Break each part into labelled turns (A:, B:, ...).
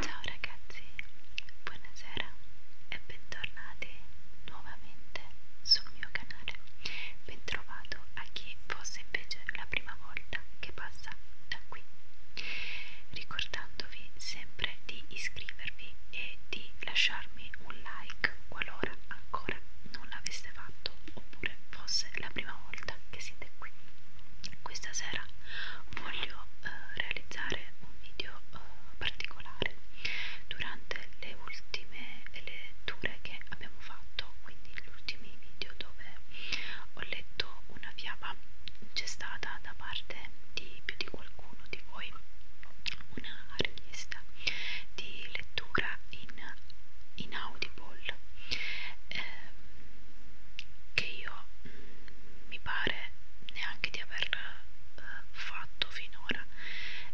A: Ciao ragazzi, buonasera e bentornati nuovamente sul mio canale. Bentrovato a chi fosse invece la prima volta che passa da qui. Ricordandovi sempre di iscrivervi e di lasciarmi un like qualora ancora non l'aveste fatto oppure fosse la prima volta che siete qui questa sera voglio eh, realizzare un video eh, particolare durante le ultime letture che abbiamo fatto quindi gli ultimi video dove ho letto una fiaba c'è stata da parte di più di qualcuno di voi una richiesta di lettura in, in audible ehm, che io mi pare neanche di aver eh, fatto finora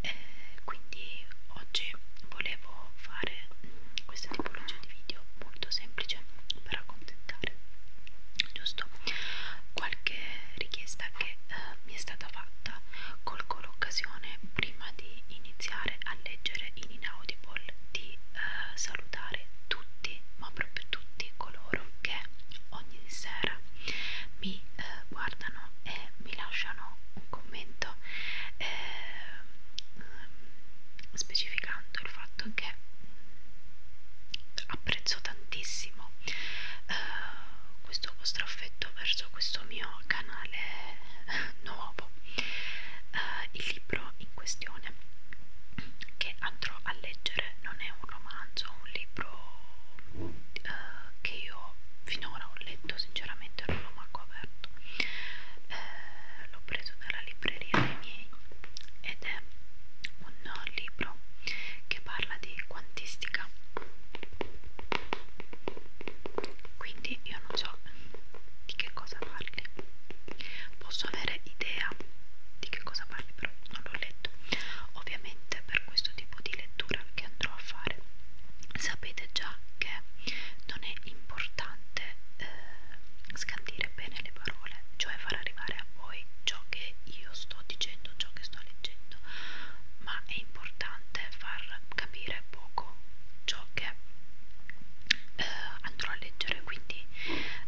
A: eh, quindi oggi volevo fare questa tipologia di video molto semplice per accontentare giusto qualche richiesta che eh, mi è stata fatta colgo l'occasione prima di iniziare a leggere i inaudible di eh, salutare tutti, ma proprio tutti coloro che ogni sera mi eh, guardano e mi lasciano un commento eh, specificando il fatto che mm, apprezzo tantissimo eh, questo vostro affetto verso questo mio canale nuovo eh, il libro in in questione che andrò a leggere non è un romanzo, un libro eh, che io finora ho letto, sinceramente non l'ho manco aperto, eh, l'ho preso dalla libreria dei miei ed è un libro che parla di quantistica quindi io non so di che cosa parli posso avere idea di che cosa parli però non l'ho letto ovviamente per questo tipo di lettura che andrò a fare sapete già che non è importante eh, scandire bene le parole cioè far arrivare a voi ciò che io sto dicendo ciò che sto leggendo ma è importante far capire poco ciò che eh, andrò a leggere quindi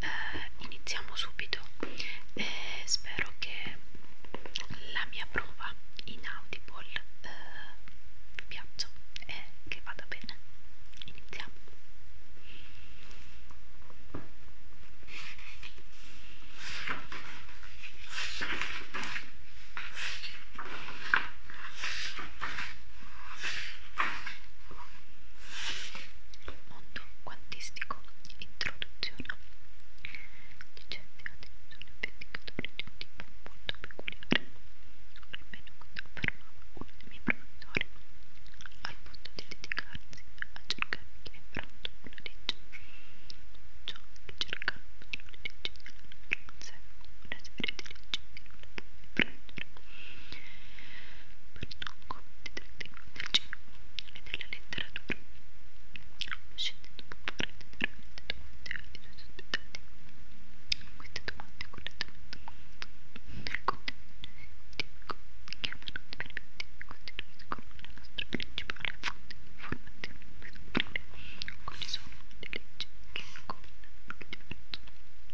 A: eh, iniziamo subito e eh, spero che la mia prova in audible eh, vi piaccia e che vada bene iniziamo Mondo quantistico, introduzione. Gli certi sono vendicatori di un tipo molto peculiare, almeno quando affermava uno dei miei professori, al punto di dedicarsi a cercare chi è pronto una legge. Ciò che cercava una legge, se una serie di leggi non la puoi prendere Bertonco del cinema e della letteratura scegliendo può prendere veramente domande ai suoi ospitati queste domande correttamente del contenuto scientifico chiamano esperimenti che costituiscono la nostra principale fonte di informazione per scoprire quali sono le leggi che governano l'universo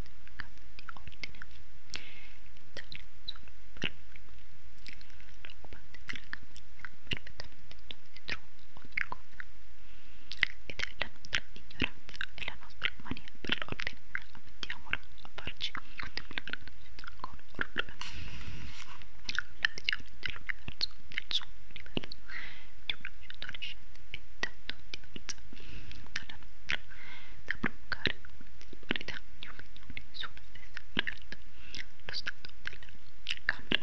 A: capo di ordine italiano solo per l'occupante della camera perfettamente dietro ogni cosa ed è la nostra ignoranza e la nostra mania per l'ordine ammettiamola a farci contemplare la società con orrore la visione dell'universo del suo universo di un adolescente è tanto diversa dalla nostra da provocare verità né opinioni sulla stessa realtà, lo stato della Camera.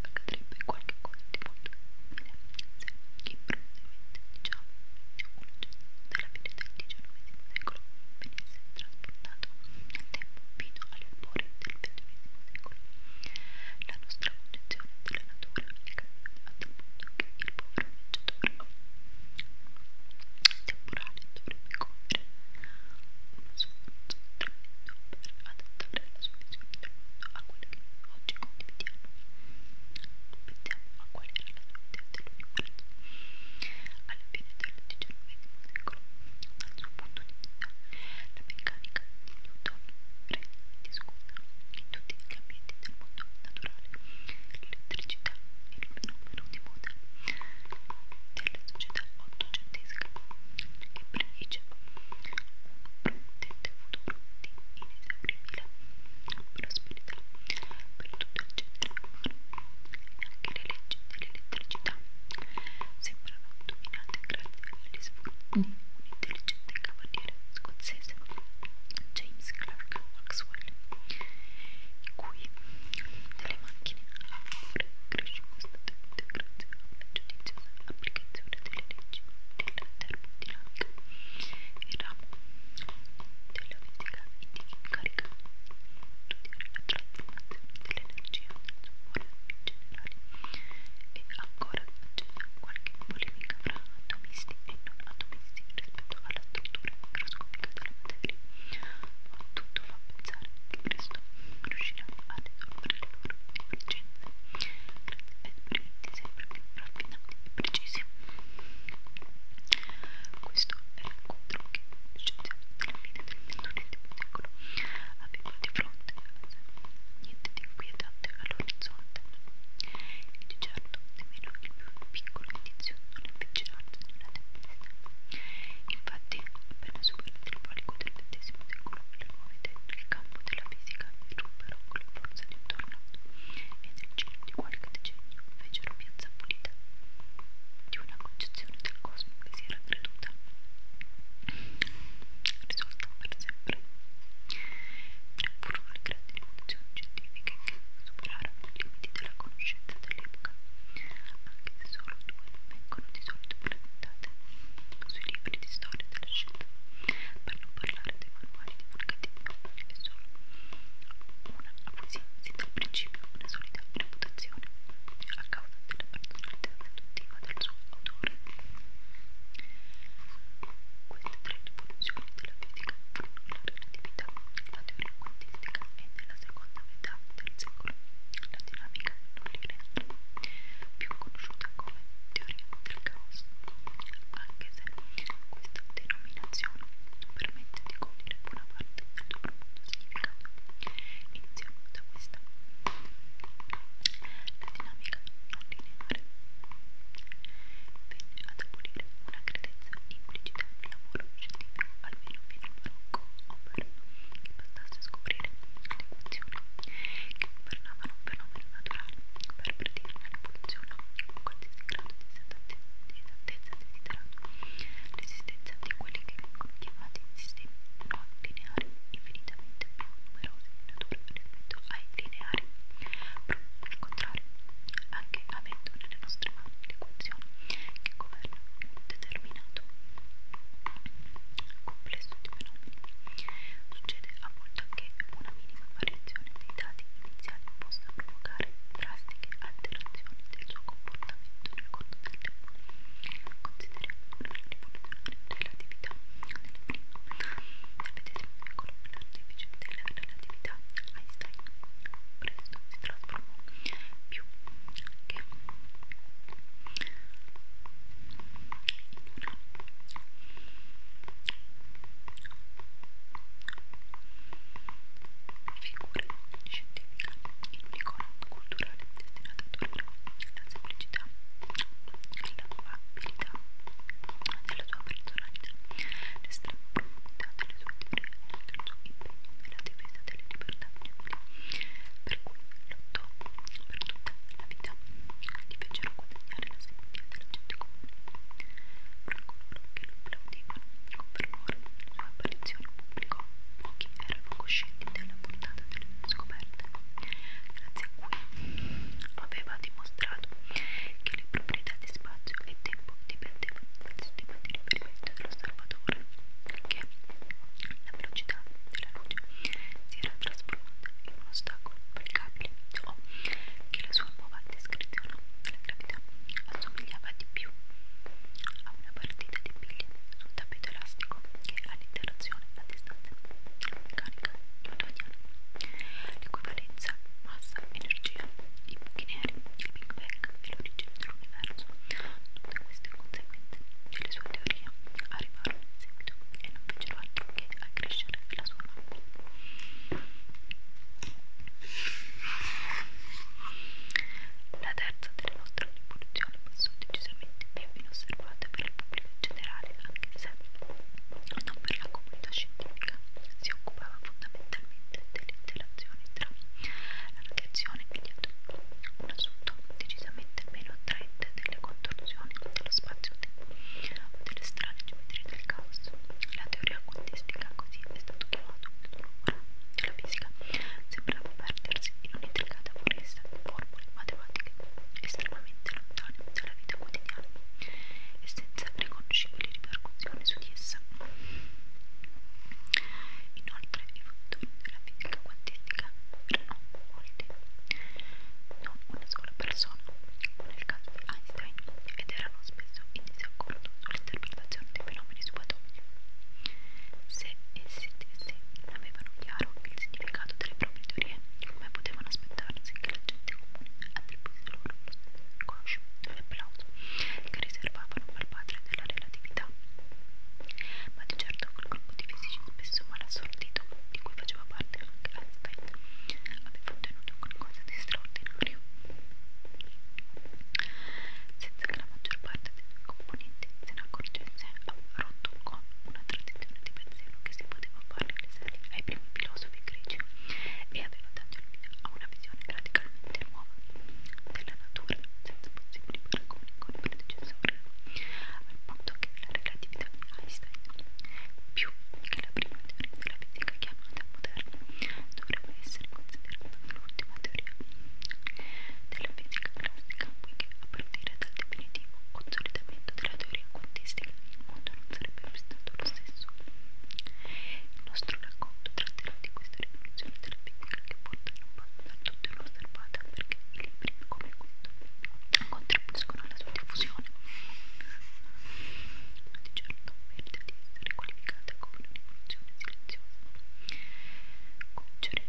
A: Accadrebbe qualche cosa di molto simile se improvvisamente, diciamo, un oggetto della fine del XIX secolo venisse trasportato nel tempo fino alle albori del XX secolo la nostra concezione della natura è cambiata a tal punto che il povero viaggiatore temporale dovrebbe compiere uno sforzo tremendo per adattare la sua visione del mondo a quella che noi oggi condividiamo. Pensiamo a qual era la sua idea dell'universo. Alla fine del XIX secolo, dal suo punto di vista, la meccanica di Newton rende discutono in tutti gli ambienti del mondo naturale l'elettricità è il fenomeno di moda della società ottocentesca che prediceva un prudente futuro di inesauribile prosperità per tutto il genere umano anche le leggi dell'elettricità sembrano dominate grazie Willis fu un intelligente cavaliere scozzese, James Clark Maxwell, in cui delle macchine a vapore cresce costantemente grazie alla giudiziosa applicazione delle leggi della termodinamica. Il ramo della fisica incarica studiare la trasformazione dell'energia nel suo modo generale e ancora aggiunge qualche polemica fra atomisti e non atomisti rispetto alla struttura microscopica della materia. Ma tutto fa pensare che presto riusciremo ad evolvere le loro divergenze grazie a esperimenti sempre più raffinati e precisi. Questo è l'incontro che gli scienziati della fine del XXI secolo avevano di fronte niente di inquietante all'orizzonte e di certo nemmeno il più piccolo indizio all'avvicinarsi di una tempesta. Infatti, appena superato il palico del XX secolo, le nuove idee nel campo della fisica irruppero con la forza di un tornado e nel giro di qualche decennio fecero piazza pulita di una concezione del cosmo che si era creduta risultano per sempre tre furono le grandi rivoluzioni scientifiche che superarono i limiti della conoscenza dell'epoca anche se solo due vengono di solito presentate sui libri di storia della scienza per non parlare dei manuali divulgativi e solo una acquisì sin dal principio una solida reputazione a causa della personalità seduttiva del suo autore queste tre rivoluzioni della fisica furono la relatività, la teoria quantistica e nella seconda metà del secolo la dinamica nucleare, più conosciuta come teoria del caos, anche se questa denominazione non permette di cogliere buona parte del suo profondo significato. Iniziamo da questa. La dinamica non lineare venne ad abolire una credenza implicita nel lavoro scientifico, almeno fino al barocco, ovvero che bastasse scoprire le equazioni che governavano un fenomeno naturale per predire un'evoluzione con qualsiasi grado di esattezza desiderato, l'esistenza di quelli che vengono chiamati sistemi non lineari, infinitamente leggermente più numerose in natura rispetto ai lineari, proprio al contrario, anche avendo nelle nostre mani l'equazione che governa un determinato complesso di fenomeni. Succede a volte che una minima variazione dei dati iniziali possa provocare drastiche alterazioni del suo comportamento nel corso del tempo. Consideriamo una rivoluzione dell'attività Vedete, eccolo, l'anno efficiente della relatività Einstein presto si trasformò più che in una figura scientifica in un'icona culturale destinata a durare la semplicità personalità, la tua abilità, della tua personalità, l'estrema profondità delle tue teorie, del tuo impegno nella difesa delle libertà inutili, per cui lottò per tutta la vita, gli fecero guadagnare la simpatia della gente comune. Fra coloro che lo applaudivano con fervore la sua apparizione in pubblico, pochi erano coscienti della portata delle sue scoperte, grazie a cui aveva dimostrato dimostrato che le proprietà di spazio e tempo dipendevano dal sistema di riferimento dell'osservatore, che la velocità della luce si era trasformata in un ostacolo applicabile o che la sua nuova descrizione della gravità assomigliava di più a una partita di biglie sul tappeto elastico che all'interazione a meccanica newtoniana l'equivalenza massa-energia, i buchi neri, il Big Bang e l'origine dell'universo tutte queste conseguenze delle sue teorie arrivarono in seguito e non fecero altro che accrescere la sua mappa la terza delle nostre rivoluzioni passò decisamente più inosservata per il pubblico in generale anche se non per la comunità scientifica, si occupava fondamentalmente dell'interazione tra la radiazione e gli atomi, un assunto decisamente meno attraente delle contorsioni dello spazio-tempo o delle strane geometrie del caos. La teoria quantistica, così è stato chiamato il dolore della fisica, sembrava perdersi in un'intricata foresta di formule matematiche estremamente lontani dalla vita quotidiana e senza riconoscibili ripercussioni su di essa. Inoltre i fattori della fisica quantistica erano molti, non una sola persona, come nel caso di Einstein, ed erano spesso in disaccordo sull'interpretazione dei fenomeni subatomici. Se essi stessi non avevano chiaro il significato delle proprie teorie, come potevano aspettarsi che la gente attribuite loro un applauso che riservavano al padre della relatività. Ma di certo quel gruppo di fisici spesso mal assortito, di cui faceva parte anche Einstein, aveva ottenuto qualcosa di straordinario. Senza che la maggior parte dei suoi componenti se ne accorgesse, ha rotto con una tradizione di pensiero che si poteva fare ai primi filosofi greci e aveva dato il via a una visione radicalmente nuova della natura senza possibili paragoni con i predecessori, al punto che la relatività di Einstein, più che la prima teoria della fisica chiamata moderna, dovrebbe essere considerata l'ultima teoria della fisica classica, poiché a partire dal definitivo consolidamento della teoria quantistica mondo non sarebbe più stato lo stesso. Il nostro racconto tratterà di questa rivoluzione della piccola che porta a tutte una starbata perché i libri come questo contribuiscono alla sua diffusione. Ma di certo merita di essere qualificata come una rivoluzione silenziosa. Concere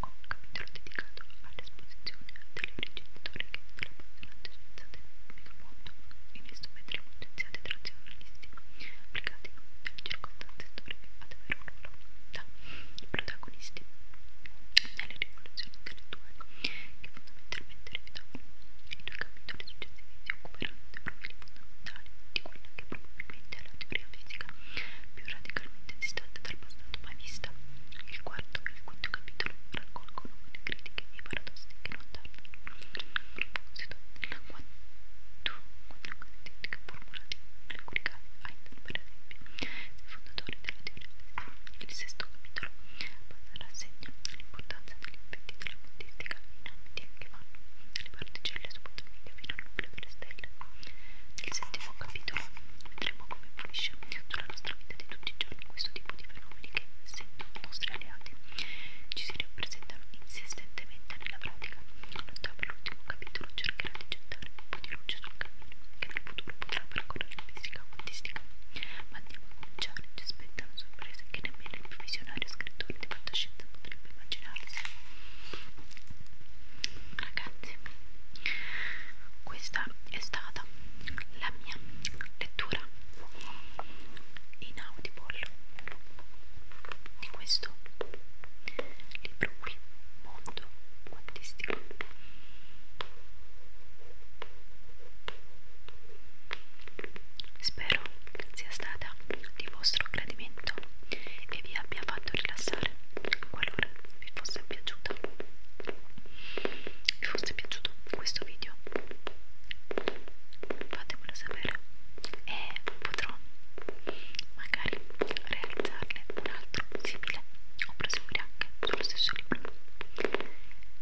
A: con un capitolo dedicato all'esposizione delle origini storiche della passata scienza utilizzate nel mondo e le istruzioni licenziate tra giornalisti applicati dalle circostanze storiche ad avere un ruolo da protagonisti nelle rivoluzioni intellettuali che fondamentalmente rifiutavano. I due capitoli successivi si occuperanno dei profili fondamentali di quella che probabilmente è la teoria fisica più radicalmente distante dal passato mai vista. Il quarto e il quinto capitolo raccolgono le critiche e i paradossi che non danno. A proposito della quadricatetica formulati in alcuni casi, Einstein per esempio, il fondatore della teoria del sesto capitolo, passa rassegna l'importanza degli effetti della quantistica in ambiti che vanno dalle particelle subatomiche fino al nucleo delle stelle. Nel settimo capitolo vedremo come influisce sulla nostra vita di tutti i giorni questo tipo di fenomeni che, se nostri alleati, ci si rappresentano insistentemente nella pratica. L'ottavo l'ultimo capitolo cercherà di gettare un po' di luce sul cammino che nel futuro potrà percorrere in fisica quantistica. Ma andiamo a cominciare, ci aspettano sorprese che nemmeno il più visionario scrittore di fantascienza potrebbe immaginarsi. Ragazzi, questa è stata stata la mia lettura in audible di questo libro qui mondo quantistico spero sia stata di vostro gradimento e vi abbia fatto rilassare qualora vi fosse piaciuta forse è piaciuto questo video fatemelo sapere e eh, potrò magari realizzarne un altro simile o proseguire anche sullo stesso libro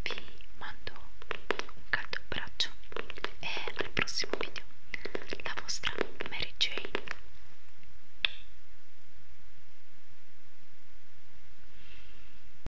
A: vi mando un caldo abbraccio e al prossimo video la vostra Mary Jane